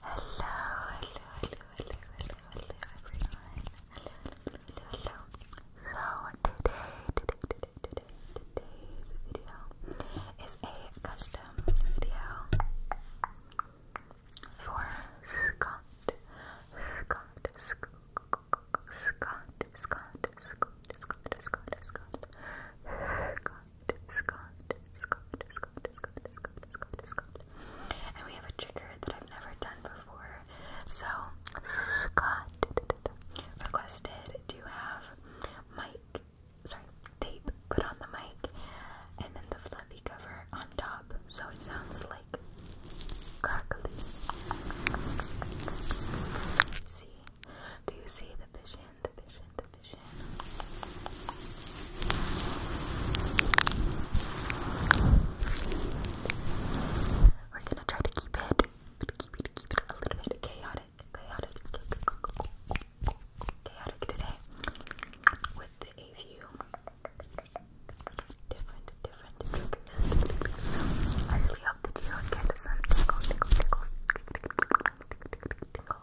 Hello, hello, hello, hello, hello, hello, Hello, hello, hello, hello. So today, today, today, today, today's video is a custom video for Scott. And we have a trigger that I've never done before. So Scott requested to have mic, sorry, tape put on the mic and then the fluffy cover on top so it sounds like crackly. see? Do you see the vision? the We're gonna try to keep it, a little bit chaotic, chaotic, chaotic today, with a few different, different triggers. I really hope that you will get some tickle, tickle, tickle, tickle, tickle, tickle, tickle, tickle,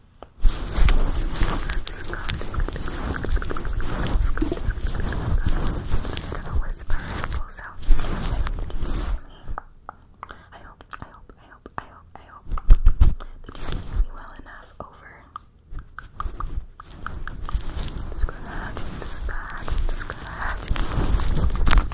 I hope, I hope, I hope, I hope, I hope that you hear me well enough over. Scratch, scratch, scratch.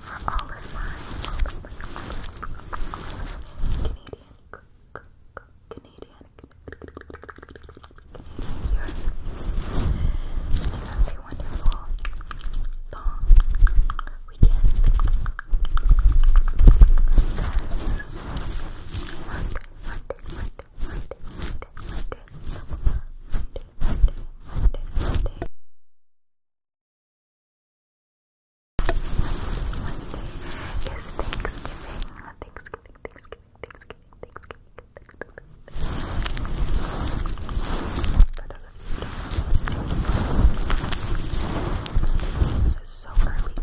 for all of my Canadian, Canadian, Canadian viewers. And have a wonderful, long weekend. Guys, Monday, Monday, Monday, Monday, Monday, Monday, Monday, Monday, Monday, Monday. For those of you this is so early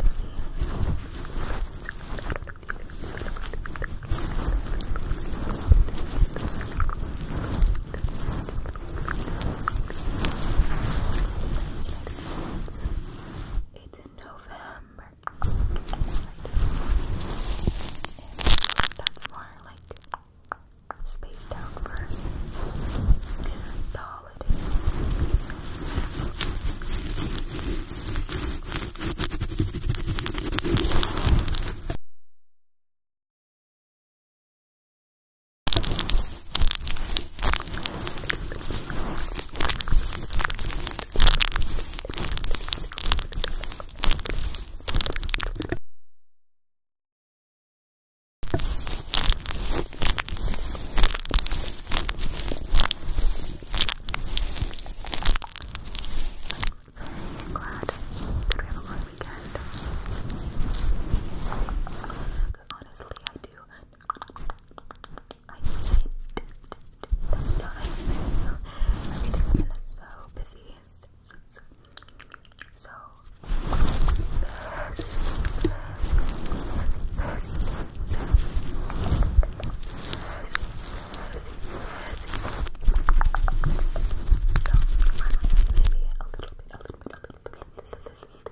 it's in November. that's more like spaced out for the holidays glad that we have a long weekend honestly, I do. I need That time. Everything's been so busy. So, so, so. So, maybe a little bit, a little a little bit, a little bit, a little bit, a little bit, a little bit, a little bit,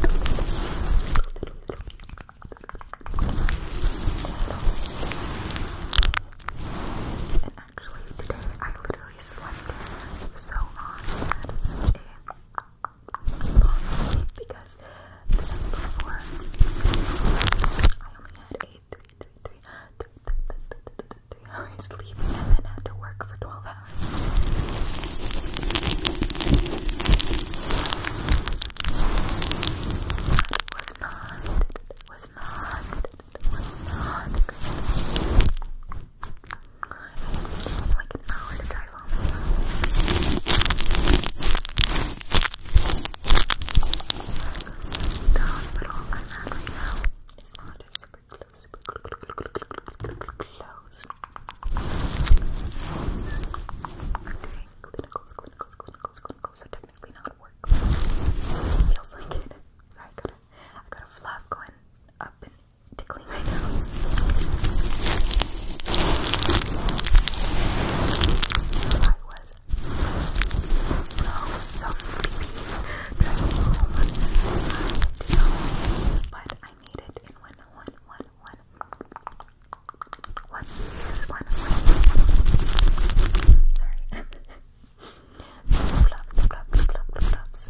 And actually, today I literally slept so long and such a long sleep because the night before I only had a three hours sleep and then had to work for 12 hours. was not, was not, was not like an hour to drive home. The hospital I'm right now is not super super close, super close. Okay, clinicals, clinicals, clinicals, clinicals are technically not work. Feels like it. Alright, gotta, got a flap going up and tickling my nose. I was so, so sleepy but I need it in one, one, one, one. One is one, one. Sorry. Flop, flop, flop, flop, flops.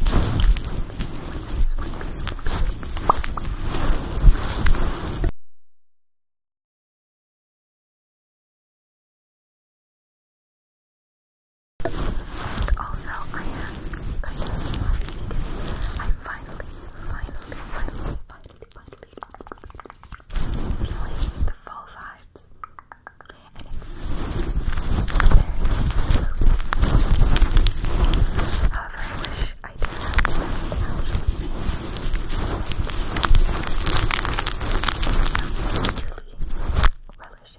And also, I am finally, finally, finally, finally, finally feeling the fall vibes. And it's very However, I wish I did have something else. Really relish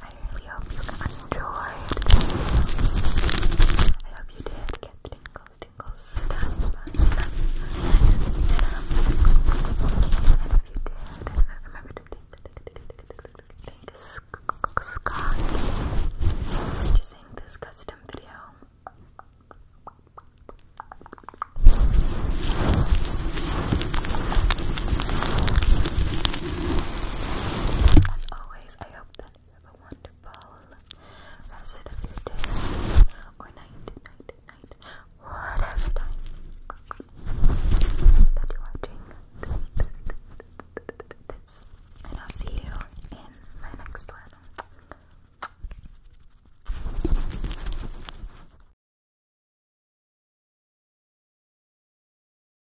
I really hope you enjoyed. I hope you did get tingles, tingles, tingles, And if you did, remember to thank Scott for just saying this custom video. As always, I hope that you have a wonderful rest of your day or night, night, night, whatever time that you're watching this. And I'll see you in my next one.